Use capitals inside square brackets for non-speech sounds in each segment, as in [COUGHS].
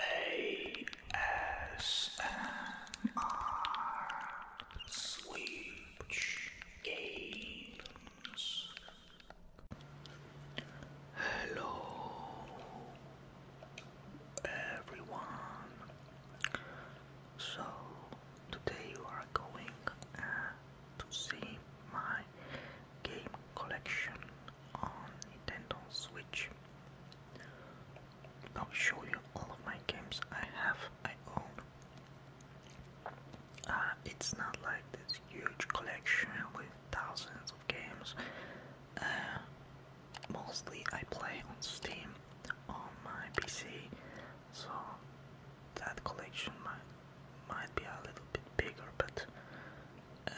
ASMR Switch Games. Hello, everyone. So, today you are going uh, to see my game collection on Nintendo Switch. I'll show you all of my games I have, I own. Uh, it's not like this huge collection with thousands of games. Uh, mostly I play on Steam on my PC, so that collection might, might be a little bit bigger, but uh,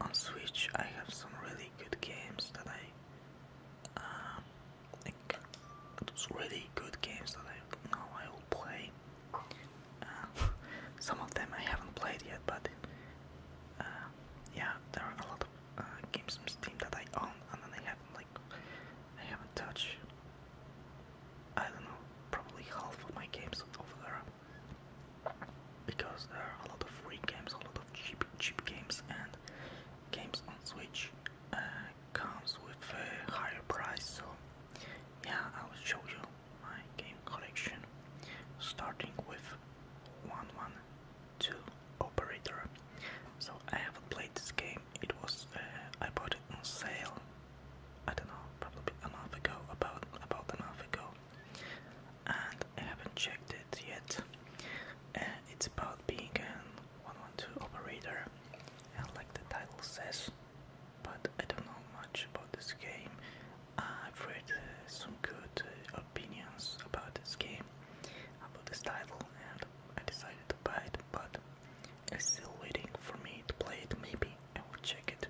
on Switch I have some really good games that I um, like those really good games that I know I will play. Um, [LAUGHS] some of them I haven't played yet, but uh, yeah, there are a lot of uh, games on Steam that I own and then I have like I haven't touched. I don't know, probably half of my games over there because there are a lot of free games, a lot of cheap cheap games, and games on Switch uh, comes with a higher price. So yeah, I will show you my game collection, starting with 112 Operator. So I haven't played this game. It was uh, I bought it on sale. I don't know, probably a month ago, about about a month ago and I haven't checked it yet. Uh, it's about being an 112 operator, and like the title says, but I don't know much about this game. I've read uh, some good uh, opinions about this game, about this title, and I decided to buy it, but I'm still waiting for me to play it maybe and we'll check it.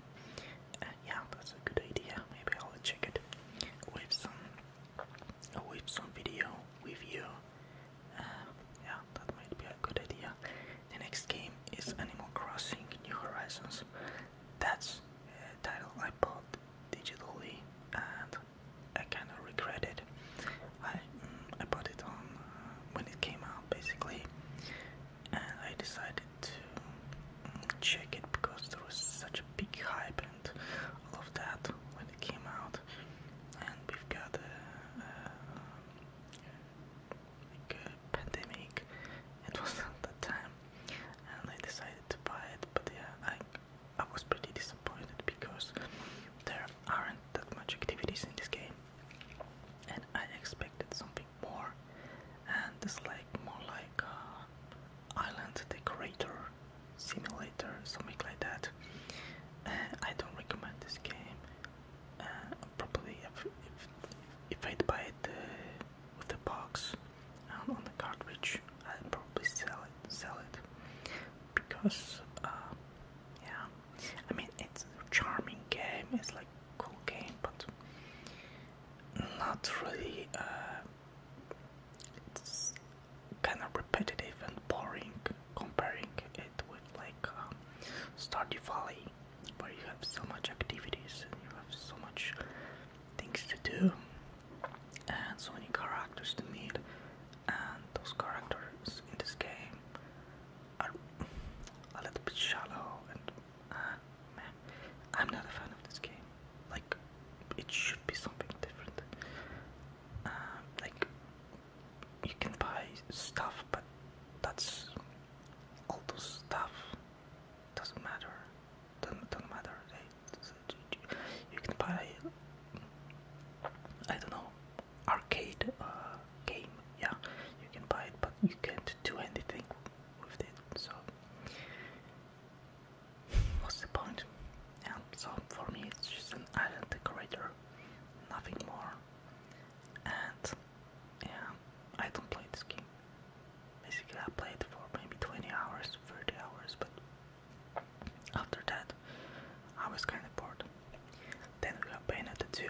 Uh, yeah, that's a good idea. Maybe I'll check it with some with some video with you. Uh, yeah, that might be a good idea. The next game is Animal Crossing New Horizons. That's a title I bought digitally and I kind of regret it. I, mm, I bought it on uh, when it came out basically and I decided to check it because there was such a big hype and all of that when it came out and we've got a, pandemic it [LAUGHS] was at that time and I decided to buy it but yeah I, I was pretty disappointed because there aren't that much activities in this game and I expected something more and it's like more like uh, island decorator simulator something like that I don't recommend this game probably if, if, I'd buy it uh, with the box on the cartridge I'd probably sell it sell it because uh, yeah I mean it's a charming game it's like cocaine, but not really. Uh, it's kind of repetitive and boring comparing it with like um, Stardew Valley, where you have so much activities and you have so much things to do and so many characters to meet, and those characters in this game are a little bit shallow and uh, man, I'm not a fan of this game. Like, it should be something different. Uh, like, you can buy stuff, but that's all those stuff doesn't matter. Doesn't, doesn't matter. You can buy, I don't know, arcade uh, game. Yeah, you can buy it, but you can't do anything with it, so what's the point? Yeah, so for me it's just an island decorator, nothing more. And yeah, I don't play this game. Basically I played for maybe 20 hours, 30 hours, but after that I was kinda bored. Then we got Bayonetta 2,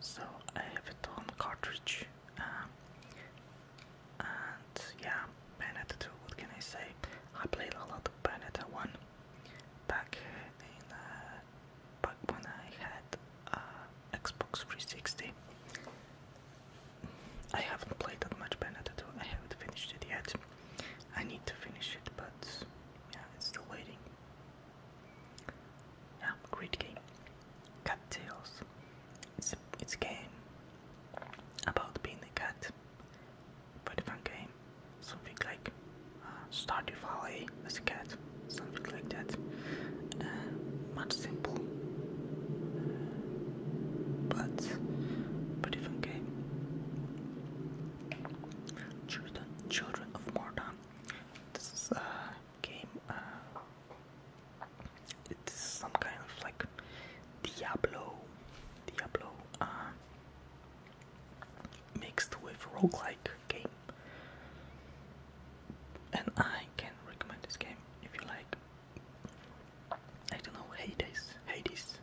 so I have it on cartridge um, and yeah, Bayonetta 2, what can I say? I played a lot of Bayonetta 1 back in, uh, back when I had uh, Xbox 360. I haven't played that much Bayonetta 2, I haven't finished it yet. I need to finish it, but yeah, it's still waiting. Yeah, great game. Cattails. It's it's a game about being a cat. But fun game. Something like start uh, Stardew Valley as a cat. Something like that. Uh, much simple. Uh, but but different game. Children, children of Mordor. This is game. Uh, it's some kind of like Diablo, Diablo uh, mixed with roguelike game. And I can recommend this game if you like. I don't know, Hades, Hades.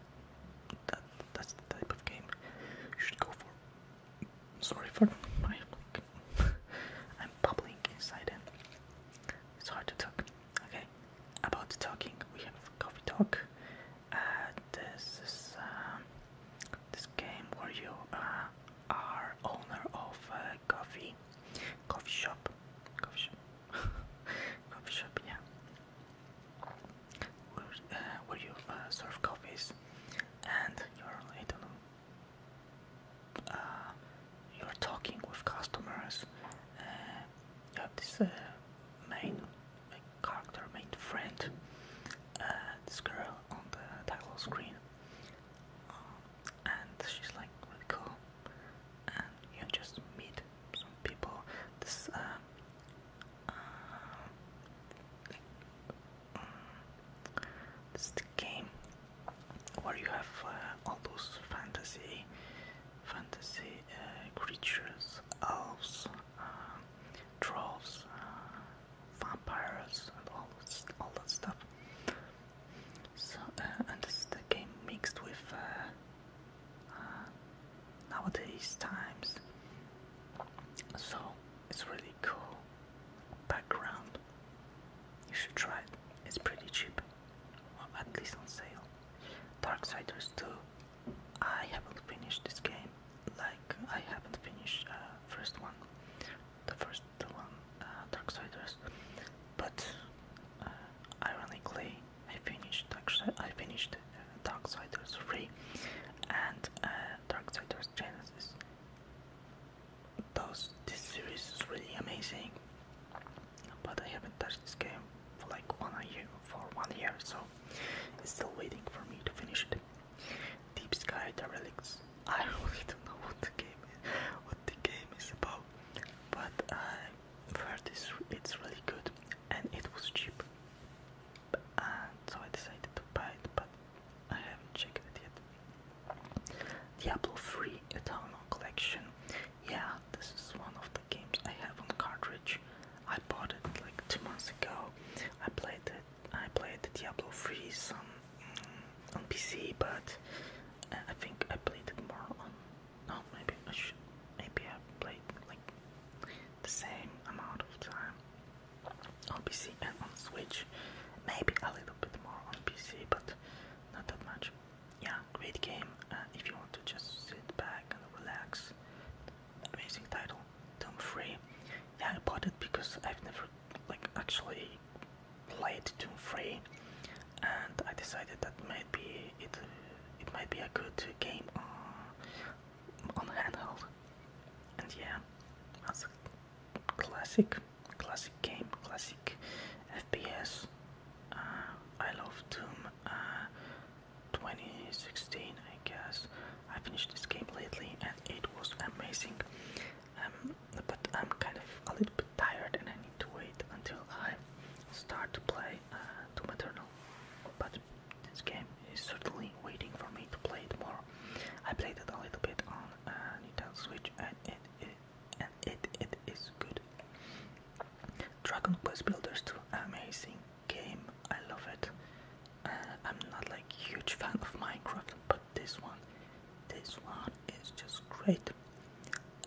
That that's the type of game you should go for. Sorry for my [LAUGHS] I'm bubbling inside and it's hard to talk. Okay, about talking, we have coffee talk. Uh, this is um, this game where you uh, are owner of a coffee, coffee shop, coffee shop, [LAUGHS] coffee shop, yeah. Where, uh, where you serve coffees and you're, I don't know, uh, you're talking with customers, uh, you uh, have this main character, main friend, uh, this girl on the title screen, and she's like cool, and you just meet some people. This this game where you have uh, all those fantasy fantasy uh, creatures, elves, uh, uh, vampires, and all all that stuff. So, and this the game mixed with nowadays times. So it's really really cool background. You should try it. It's pretty cheap. at least on sale. Darksiders 2. I haven't finished this game. Like, I haven't finished uh, first one. The first one, uh, Dark Darksiders. But, uh, ironically, I finished I finished uh, Darksiders 3 and uh, Darksiders Genesis those this series is really amazing but I haven't touched this game for like one year for one year so it's still waiting for me to finish it. Deep Sky the I [LAUGHS] really don't know what the game is what the game is about but i heard this it's really good and it was cheap so I decided to buy it but I haven't checked it yet. Diablo 3 Eternal Collection. Yeah, this is one of the games I have on cartridge. I bought it like two months ago. I played it. I played the Diablo 3 some mm, on PC, but uh, I think I played it more on. No, maybe I should. Maybe I played like the same amount of time on PC and on Switch. Maybe a little bit more on PC, but not that much. Yeah, great game. Uh, if you want to just sit back and relax, amazing title. Doom Free. Yeah, I bought it because I've never like actually played Doom Free, and I decided that maybe it it might be a good game on on handheld. And yeah, that's classic, classic game, classic FPS. Uh, I love Doom uh, 2016, I guess. I finished this game lately and it was amazing. Um, but I'm kind of a little bit tired and I need to wait until I start to play uh, Doom Eternal. But this game is certainly waiting for me to play it more I played it a little bit on uh, Nintendo Switch, and it, it it it is good. Dragon Quest Builders 2, amazing game. I love it. Uh, I'm not like huge [LAUGHS] fan of Minecraft, but this one, this one is just great.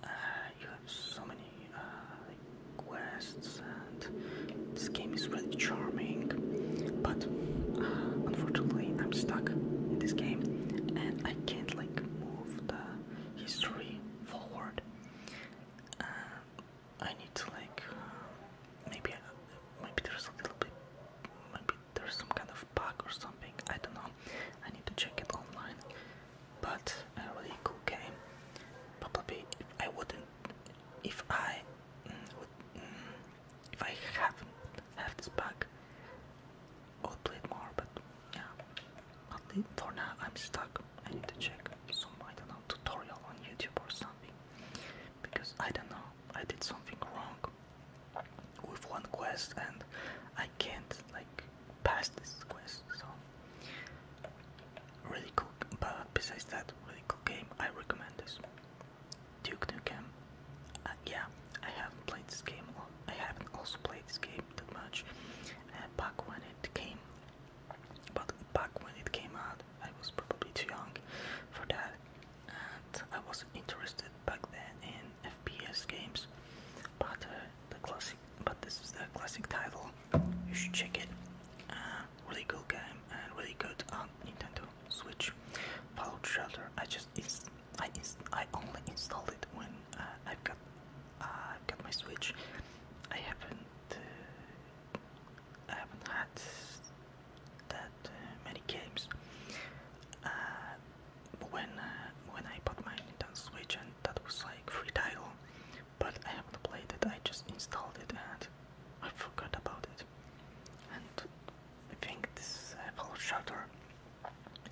Uh, you have so many uh, quests, and this game is really charming. But unfortunately, I'm stuck in this game and I can't like move the history forward. Uh, I need to like uh, maybe uh, maybe there's a little bit maybe there's some kind of bug or something. I don't know. I need to check it online. But really cool game. Probably I wouldn't if I mm, would. Mm, if I haven't have this pack, I would play it more, but yeah. At for now, I'm stuck. I need to check some, I don't know, tutorial on YouTube or something. Because I don't know, I did something wrong with one quest and I can't, like, pass this quest, so. Really cool, but besides that, really cool game. I recommend this. Duke Nukem. Uh, yeah, I haven't played this game. I haven't also played this game that much. Uh, back when it came, but back when it came out, I was probably too young for that, and I wasn't interested back then in FPS games. But uh, the classic, but this is the classic title. You should check it. really good game and really good on Nintendo Switch. Fallout Shelter. I just it's I I only installed it when uh, I've got uh, I've got my Switch. I haven't uh, I haven't had that many games. Uh, when when I bought my Nintendo Switch and that was like free title, but I haven't played it. I just installed it and I forgot about it. And I think this Apple shutter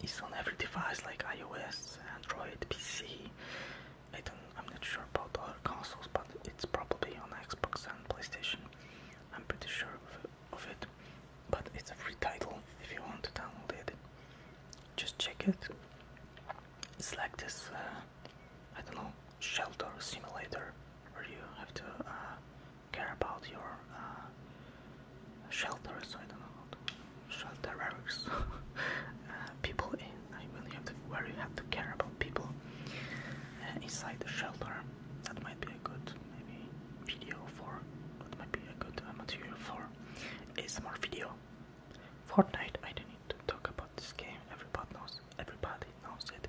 is on every device like iOS, Android, PC. I don't, I'm not sure about other consoles, but it's probably on Xbox and PlayStation. I'm pretty sure of, it, but it's a free title if you want to download it. Just check it. It's like this, uh, I don't know, shelter simulator where you have to uh, care about your uh, shelters. I don't know, shelterers, [LAUGHS] uh, people in. I really have to where you have to care about people uh, inside the shelter. That might be a good maybe video for. That might be a good uh, material for ASMR video. Fortnite. I don't need to talk about this game. Everybody knows. Everybody knows it.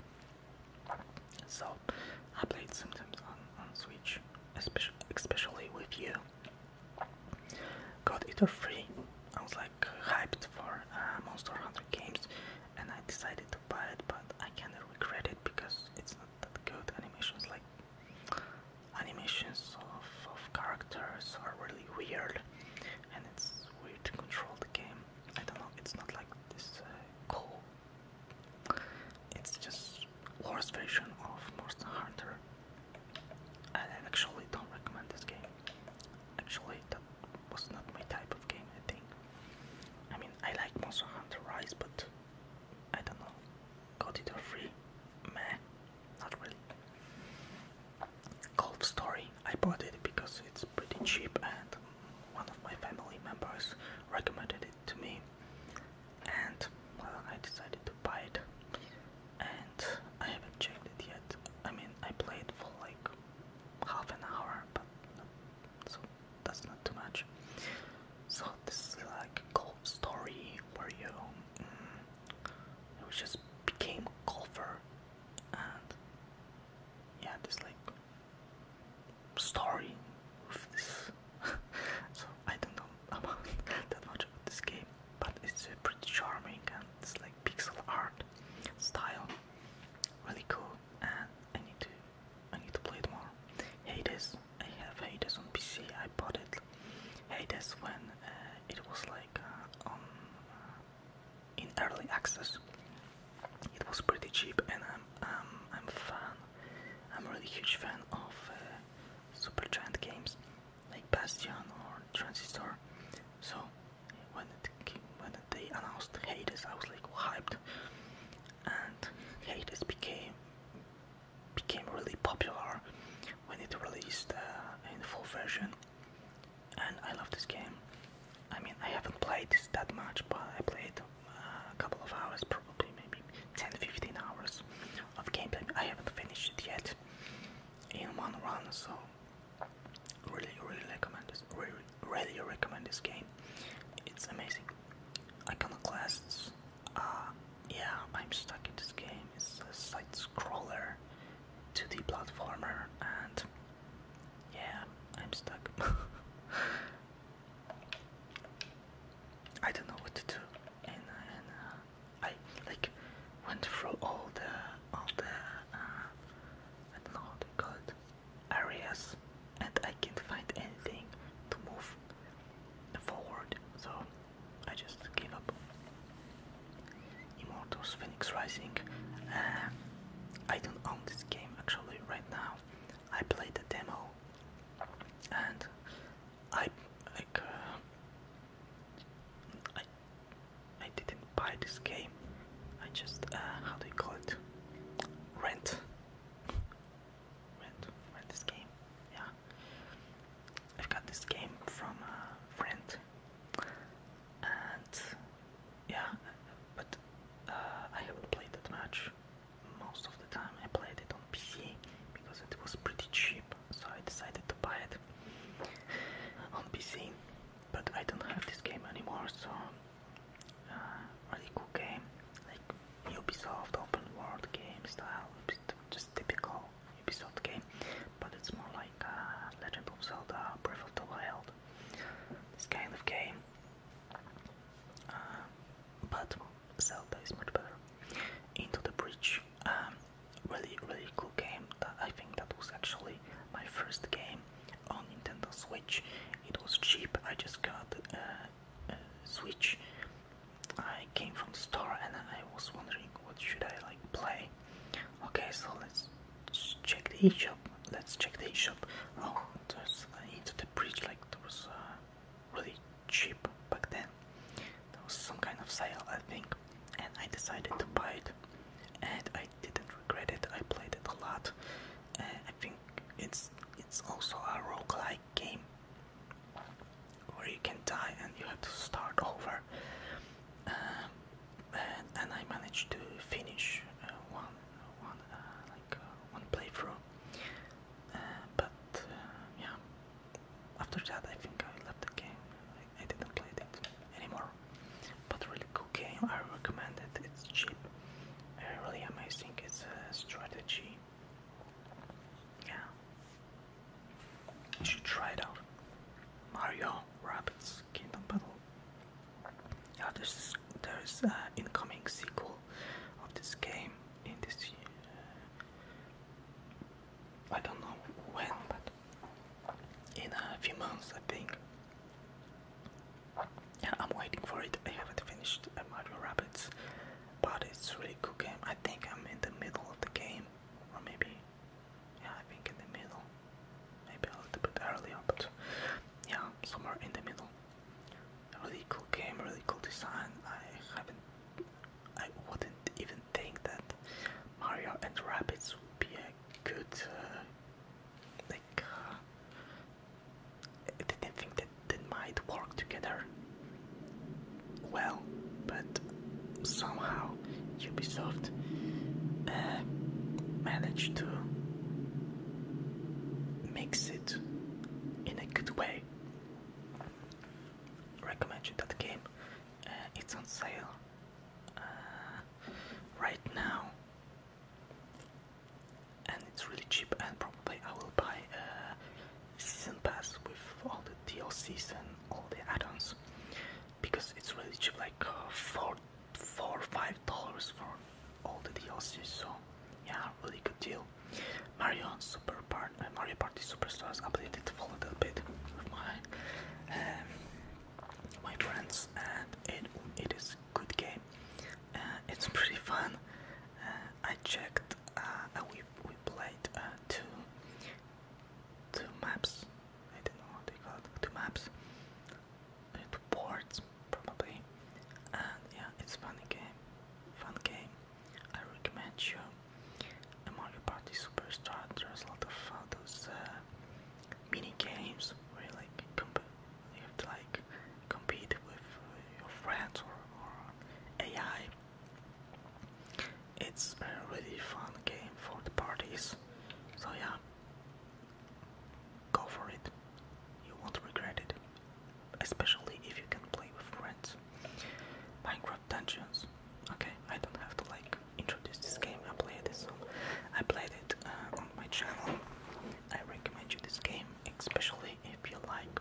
So I played sometimes on, on Switch, especially, especially with you. Got it for free. I was like hyped for uh, Monster Hunter games, and I decided to buy it, but I kind of regret it because it's not that good. Animations like animations of, of characters are really weird, and it's weird to control the game. I don't know. It's not like this uh, cool it's just worse version of Monster Hunter. I actually don't recommend this game. Actually, that was not my type of game, I think. I mean, I like Monster Hunter Rise, but I don't know. Got it for free? Meh, not really. Golf Story, I bought it because it's pretty cheap and one of my family members recommended it to me, and well, I decided to buy it. And I haven't checked it yet. I mean, I played for like half an hour, but so that's not too much. So this is like a golf story where you, mm, just became a golfer, and yeah, this like story with this. [LAUGHS] so I don't know [LAUGHS] that much about this game, but it's uh, pretty charming and it's like pixel art style, really cool. And I need to, I need to play it more. Hades, I have Hades on PC. I bought it. Hades when uh, it was like uh, on uh, in early access. It was pretty cheap, and I'm um, I'm fan. I'm really huge fan of super uh, Supergiant games like Bastion or Transistor. So when it when they announced Hades, I was like hyped, and Hades became became really popular when it released uh, in full version. And I love this game. I mean, I haven't played this that much, but I played uh, a couple of hours, probably maybe 10 15 hours of gameplay. I haven't finished it yet in one run, so really, really recommend this. Really, recommend this game. It's amazing. Iconoclasts. Uh, yeah, I'm stuck in this game. It's a side scroller, 2D platformer, and yeah, I'm stuck. [LAUGHS] I don't know what to do, and, uh, I like went through all the all the uh, I don't know how to call it areas, and I can't find anything to move forward, so I just gave up. Immortals Phoenix Rising. Uh, I don't own this game actually right now. I played the demo and I like uh, I I didn't buy this game. I just uh, how do you call it? Rent. Rent. Rent this game. Yeah. I've got this game from a friend, and yeah, but uh, I haven't played that match most of the time. I played it on PC because it was pretty cheap, so I decided to buy it on PC. But I don't have this game anymore, so uh, really cool game, like Ubisoft open world game style, just typical Ubisoft game, but it's more like uh, Legend of Zelda, Breath of the Wild, this kind of game. Um, but Zelda is much better. Into the Breach, um, really, really cool game. I think that was actually my first game on Nintendo Switch. It was cheap. I just got uh, a Switch. I came from the store and I was wondering what should I like play. Okay, so let's check the eShop. Let's check the eShop. Oh, just into uh, the bridge like there was uh, really cheap back then there was some kind of sale I think and I decided to buy it and I didn't regret it I played it a lot and I think it's it's also a roguelike game where you can die and you have to start over um, and, and I managed to finish uh, one one like uh, one playthrough. Uh, but uh, yeah, after that I think I left the game. I, didn't play it anymore. But really cool game. I recommend it. It's cheap. Uh, really amazing. It's a strategy. Yeah, you should try it out. Mario Rabbits Kingdom Battle. Yeah, there's there's an uh, incoming sequel of this game in this I don't know when, but in a few months, I think. Yeah, I'm waiting for it. I haven't finished uh, Mario Rabbits, but it's really good game. I think I'm in the middle of the game, or maybe, yeah, I think in the middle, maybe a little bit earlier, but yeah, somewhere in the middle really cool game, really cool design. I haven't, I wouldn't even think that Mario and Rabbits would be a good, uh, like, uh, I didn't think that they might work together well, but somehow Ubisoft uh, managed to makes it in a good way. Recommend that game. Uh, it's on sale uh, right now, and it's really cheap. And probably I will buy a season pass with all the DLCs and all the add-ons because it's really cheap, like uh, 40 four five dollars for all the DLCs, so yeah, really good deal. Mario Super Part uh, Mario Party Superstars updated for a little bit with my um, my friends, and it it is good game. Uh, it's pretty fun. Uh, I checked. we we played two two maps. I don't know what they call Two maps. two ports probably and yeah it's funny game fun game I recommend you a Mario Party Superstar there's a lot of uh, mini games where like you have to like compete with uh, your friends or AI it's a really fun game for the parties so yeah Go for it. You won't regret it, especially if you can play with friends. Minecraft Dungeons. Okay, I don't have to like introduce this game. I played this. I played it uh, on my channel. I recommend you this game, especially if you like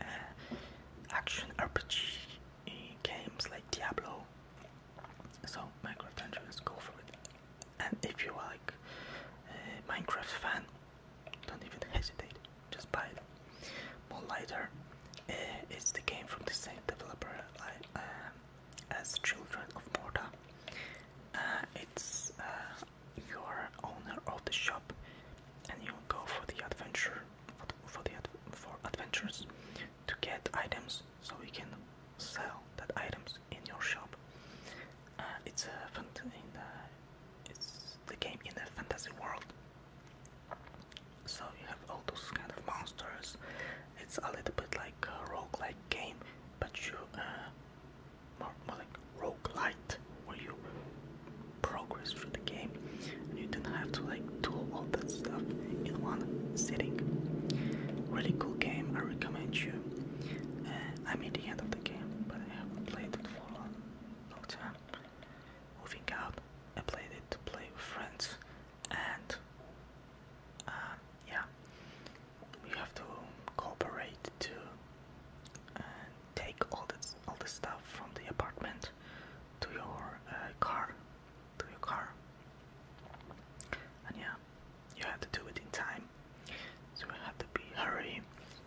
uh, action RPG games like Diablo. So Minecraft Dungeons, go for it and if you are like a Minecraft fan, don't even hesitate, just buy it. Moonlighter uh, is the game from the same developer uh, as Children of Morta. Uh, it's uh, your owner of the shop, and you go for the adventure for the for adventures to get items so we can sell that items in your shop. Uh, it's a in it's the game in the fantasy world. So you have all those kind of monsters. It's a little bit like a roguelike game, but you uh, more, like roguelite where you progress through the game and you don't have to like do all that stuff in one sitting. Really cool game, I recommend you. I am mean the end of the game, but I haven't played it for a long, long time. Moving out, I played it to play with friends, and uh, yeah, we have to cooperate to uh, take all this all the stuff from the apartment to your uh, car, to your car, and yeah, you have to do it in time. So you have to be hurry.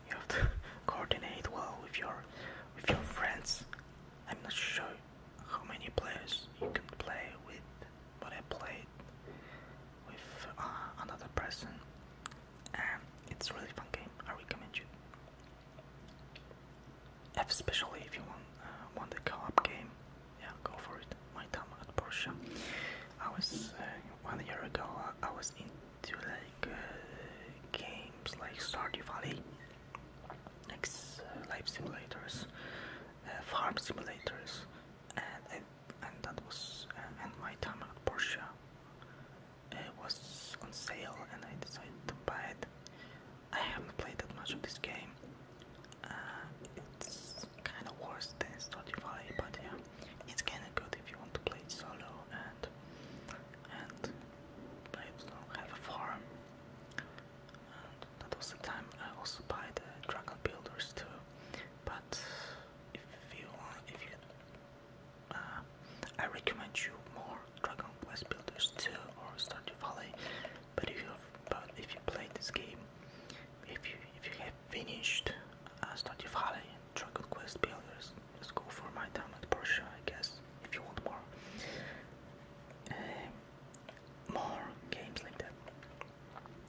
You have to [LAUGHS] coordinate well with your with your friends. I'm not sure how many players you can play with, but I played with uh, another person, and it's a really fun game. I recommend you, especially if you want uh, want a co-op game yeah, go for it. My time at Porsche. I was uh, one year ago. I, was into like uh, games like Stardew Valley, like uh, life simulators, farm simulators, and and that was and my time at Porsche uh, was on sale, and I decided to buy it. I haven't played that much of this game. Uh, it's kind of worse than Spotify, but yeah, it's kind of good if you want to play solo and and play it solo, have a farm. that was the time I also buy the Dragon Builders too. But if you want, if you, uh, I recommend you more Dragon Quest Builders too or Stardew Valley. But if you, but if you play this game, if you if you have have finished uh, Stardew Valley and Dragon Quest Builders. Let's go for my time at Porsche, I guess, if you want more. Um, more games like that.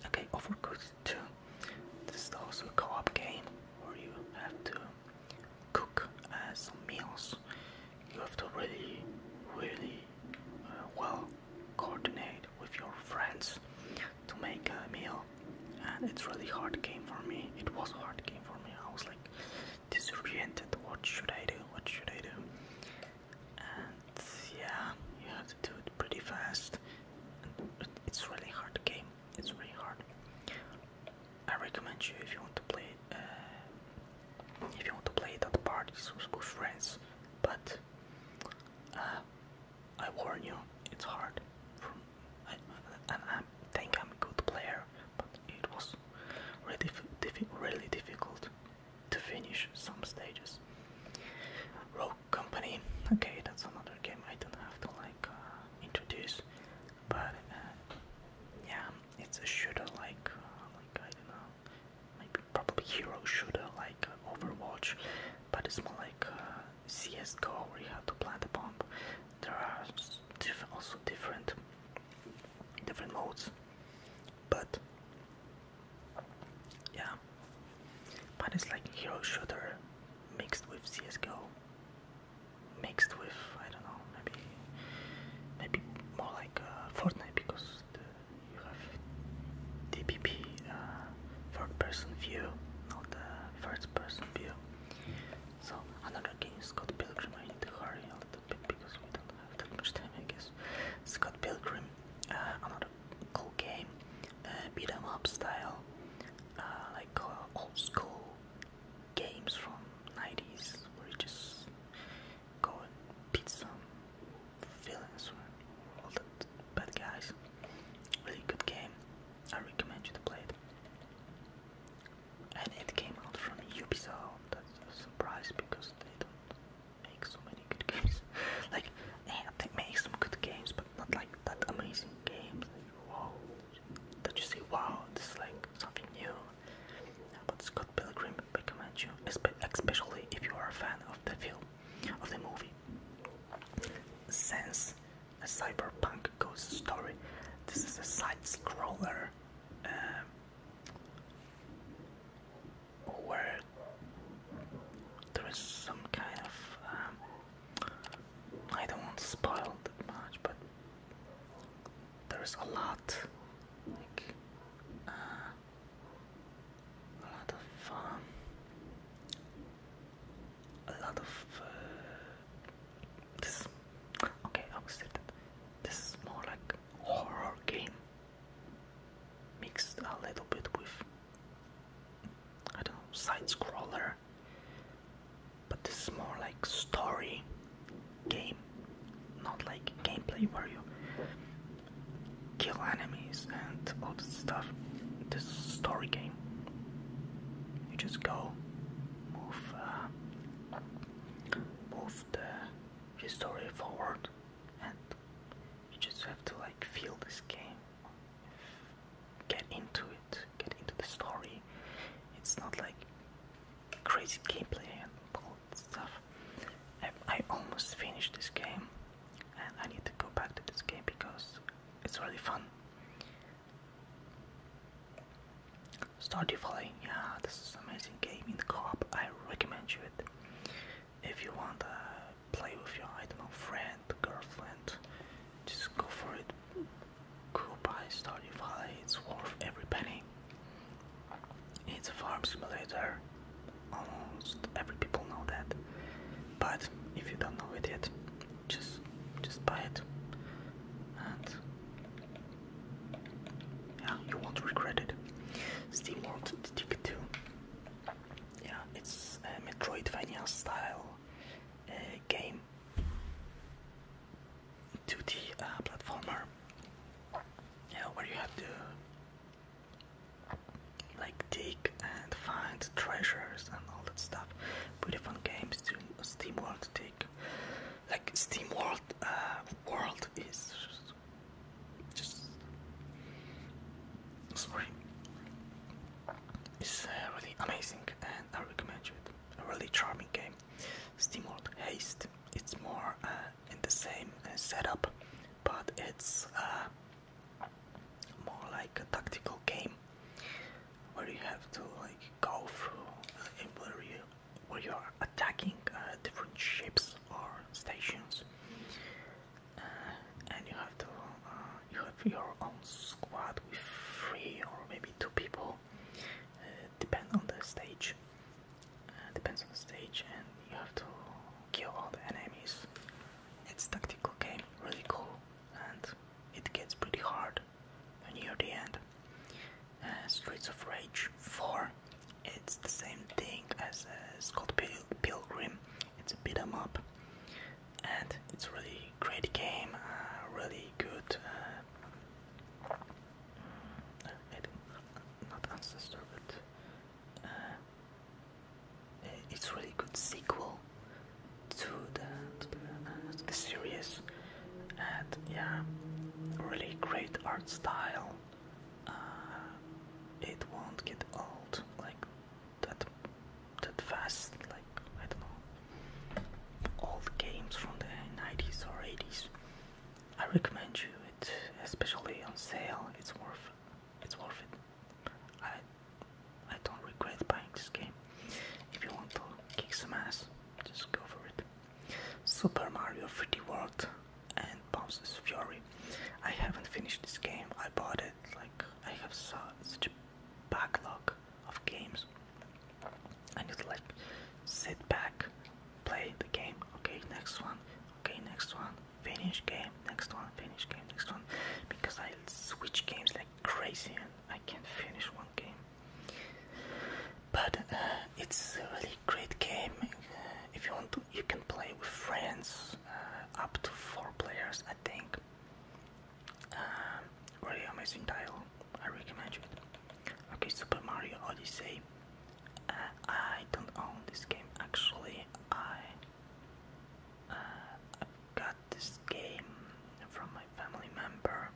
Okay, Overcooked 2. This is also a co-op game where you have to cook uh, some meals. You have to really, really uh, well coordinate with your friends to make a meal and it's really hard game for me it was hard game for me i was like disoriented what should i do what should i do and yeah you have to do it pretty fast it's really hard game it's really hard i recommend you if you want to play uh, if you want to play it at parties with friends but uh, I warn you, it's hard. I, think I'm a good player, but it was really, difficult to finish some stages. Rogue Company, okay, that's another game I don't have to like uh, introduce, but uh, yeah, it's a shooter like, uh, like I don't know, maybe probably hero shooter like uh, Overwatch, but it's more like uh, CS: GO where you have to plant a bomb. There are also different different modes, but yeah, but it's like hero shooter mixed with CS: GO, mixed with I don't know maybe maybe more like uh, Fortnite because first uh, you have DPP, uh, third person view, not the first person view. So another game is Scott Pilgrim. I need to hurry a little bit because we don't have that much time, I guess. Scott Pilgrim, uh, another cool game, uh, beat 'em up style, uh, like uh, old school games from 90s where you just go and beat some villains or all the but guys. Really good game. I recommend you to play it. And it came out from Ubisoft. That's a surprise because they don't make so many good games. [LAUGHS] like, yeah, they make some good games, but not like that amazing games. Like, wow. That you see? wow, this is like something new. but Scott Pilgrim recommend you, especially if you are a fan of the film of the movie. Since a cyberpunk ghost story, this is a side scroller um, where there is some kind of um, I don't want to spoil that much, but there is a lot uh, a lot of um, a lot of this okay I will say that this is more like horror game mixed a little bit with I don't know side scroller but this is more like story game not like gameplay where you kill enemies and all this stuff. This story game. You just go, move, uh, move the story forward, and you just have to like feel this game, get into it, get into the story. It's not like crazy gameplay and all that stuff. I almost finished this game. I need to go back to this game because it's really fun. Stardew Valley, yeah, this is amazing game in the co-op. I recommend you it if you want to play with your I don't know friend, girlfriend. Just go for it. Go buy Stardew Valley. It's worth every penny. It's a farm simulator. Almost every people know that. But if you don't know it yet, just just buy it. And yeah, you won't regret it. Steam World Dig Yeah, it's a Metroidvania style uh, game. 2D uh, platformer. Yeah, where you have to like dig and find treasures and all that stuff. Pretty fun games to Steam World take. Like Steam World uh, World is just sorry. It's uh, really amazing and I recommend you it. A really charming game. Steam World Haste. It's more uh, in the same uh, setup, but it's uh, more like a tactical game where you have to like go through uh, where you where you are attacking uh, different ships or stations, and you have to you have your own squad with three or maybe two people, uh, depend on the stage uh, depends on the stage, and you have to kill all the enemies. It's tactical game, really cool, and it gets pretty hard near the end. Uh, Streets of Rage 4. It's the same thing as uh, Scott Pilgrim. It's a beat 'em up, and it's really great game. Uh, really good. Uh, mm, not ancestor, uh, it's really good sequel uh, to the, series and yeah really great art style uh, it won't get old like that that fast like I don't know old games from the 90s or 80s I recommend you it especially on sale it's worth it's worth it. I I don't regret buying this game. If you want to kick some ass, just go for it. Super Mario 3D World and Bowser's Fury. I haven't finished this game. I bought it like I have such a backlog of games. I need to like sit back play the game. Okay, next one. Okay, next one. Finish game. Next one. Finish game. Next one. Because I switch games like crazy and I can't finish one game. But uh, it's a really great game. Uh, if you want to, you can play with friends. Uh, up to four players, I think. really amazing title. I recommend it. Okay, Super Mario Odyssey. Uh, I don't own this game actually. Uh, I got this game from my family member,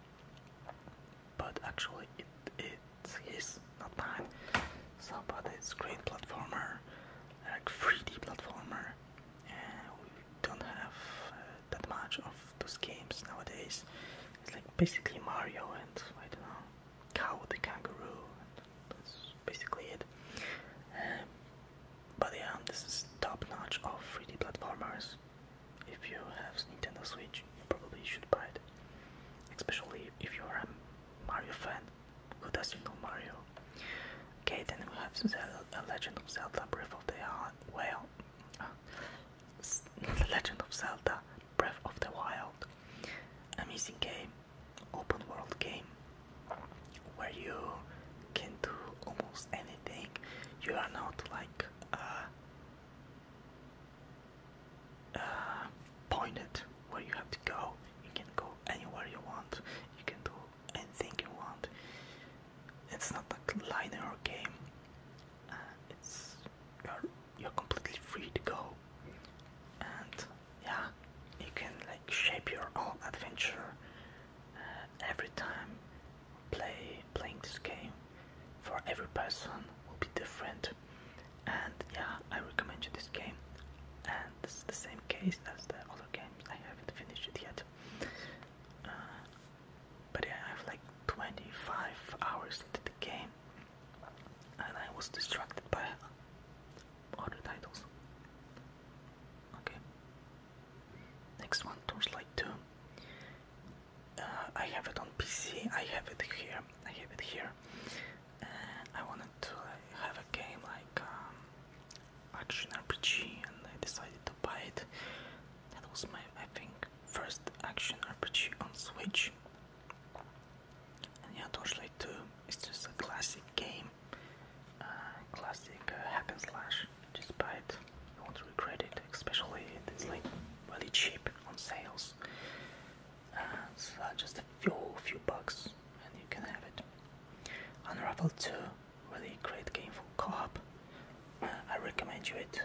but actually it it's his, not mine. So, but it's great platformer, like 3D platformer. Uh, we don't have uh, that much of those games nowadays. It's like basically Mario and I don't know cow, the kangaroo, that's basically it. Um, but yeah, this is top notch of 3D platformers. If you have Nintendo Switch, you probably should buy it. Especially if you're a Mario fan. Who doesn't know Mario? Okay, then we have Zelda, Legend of Zelda Breath of the Wild. Uh, [LAUGHS] Legend of Zelda Breath of the Wild. Amazing game open world game where you can do almost anything. You are not like uh, uh, pointed where you have to go. You can go anywhere you want. You can do anything you want. It's not a linear game. Uh, it's you you're completely free to go and yeah you can like shape your own adventure uh, every time play playing this game for every person will be different and yeah I recommend you this game and this is the same case as the other games I haven't finished it yet uh, but yeah, I have like 25 hours into the game and I was distracted by other titles. Okay. Next one, Torchlight 2. Uh, I have it on PC, I have it here, I have it here. Uh, I wanted to have a game like um, action RPG and I decided to buy it. That was my, I think, first action RPG on Switch. And yeah, Torchlight 2 is just a classic game, uh, classic uh, hack and slash. Despite you won't regret it, especially it's like really cheap on sales. Uh, uh, just a few few bucks, and you can have it. Unravel 2, really great game for co-op. Uh, I recommend you it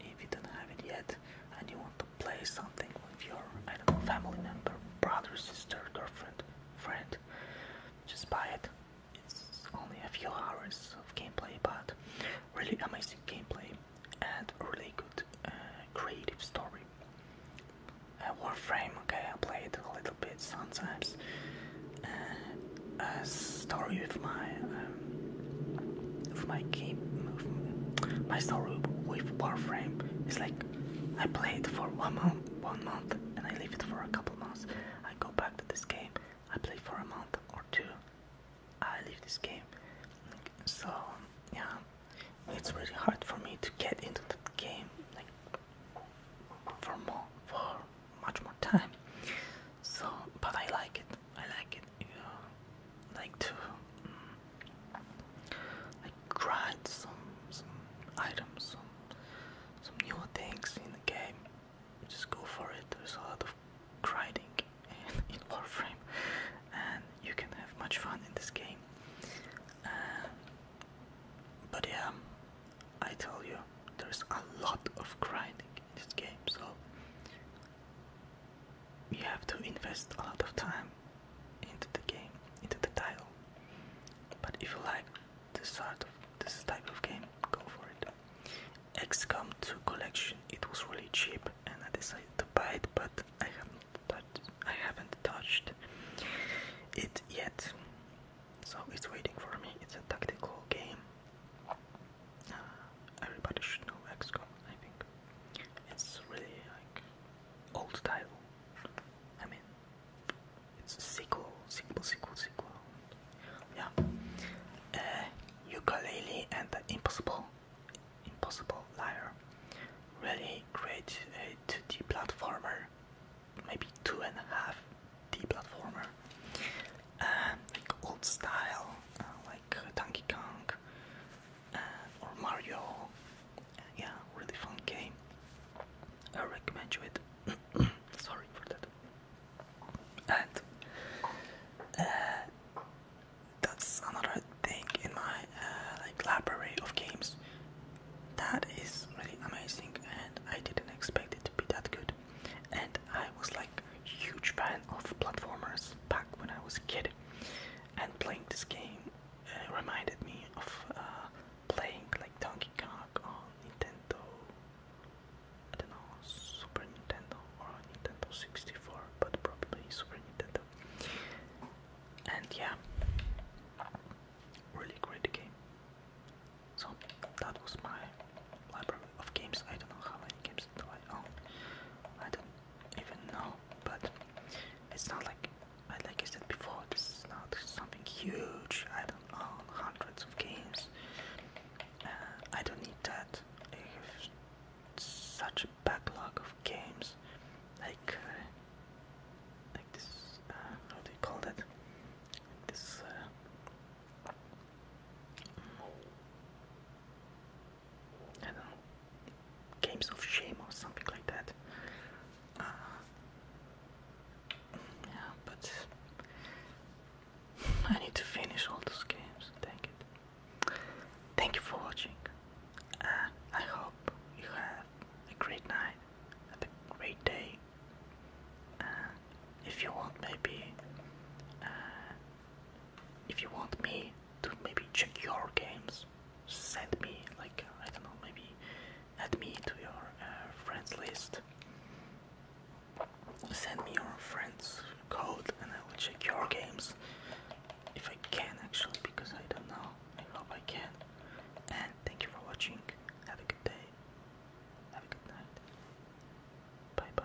if you don't have it yet and you want to play something with your family member, brother, sister, girlfriend, friend, just buy it. It's only a few hours of gameplay, but really amazing gameplay and really good uh, creative story. Uh, Warframe, okay, I played a little bit sometimes. Uh, a story with my um, of my game movement. My story with Warframe is like I play it for one month, one month, and I leave it for a couple months. I go back to this game. I play for a month or two. I leave this game. So yeah, it's really hard for me to get into that game like for more, for much more time. So, but I like it. I like it. You like to mm, like grind some some items some some new things in the game just go for it there's a lot of grinding in, [LAUGHS] warframe and you can have much fun in this game uh, but yeah I tell you there's a lot of grinding in this game so you have to invest a lot of time into the game, into the title. But if you like this sort of this type of game, go for it. XCOM 2 collection, it was really cheap and I decided to buy it, but I haven't touched, it yet. So it's waiting for me. It's a tactical game. Uh, everybody should know XCOM, I think. It's really like old title. I mean, it's sequel, sequel, sequel, sequel. Yeah. Uh, ukulele and Impossible, Impossible Liar. Really great uh, 2D platformer, maybe two and a half D platformer. Um, old style, uh, like like Donkey Kong uh, or Mario. Uh, yeah, really fun game. I recommend you it. [COUGHS] Sorry for that. And uh, that's another thing in my like library of games that is really amazing, and I didn't expect it to be that good. And I was like huge fan of platformers back when I was kid and playing this game uh, reminded me of uh, playing like Donkey Kong on Nintendo, I don't know, Super Nintendo or Nintendo 64, but probably Super Nintendo. And yeah, really great game. So that was my library of games. I don't know how many games do I I don't even know, but it's not like, like I said before, this is not something huge. I don't own hundreds of games. Uh, I don't need that. I have such a backlog of games, like uh, like this. Uh, how do you call that? This. I don't know, games of shame or something like that. Uh, yeah, but [LAUGHS] I need to finish all those games. Thank it. Thank you for watching. I hope you have a great night, a great day. if you want, maybe, uh, if you want me to maybe check your games. Send me, like, I don't know, maybe add me to your uh, friends list. Send me your friends code and I will check your games. If I can actually, because I don't know. I hope I can. And thank you for watching. Have a good day. Have a good night. Bye bye.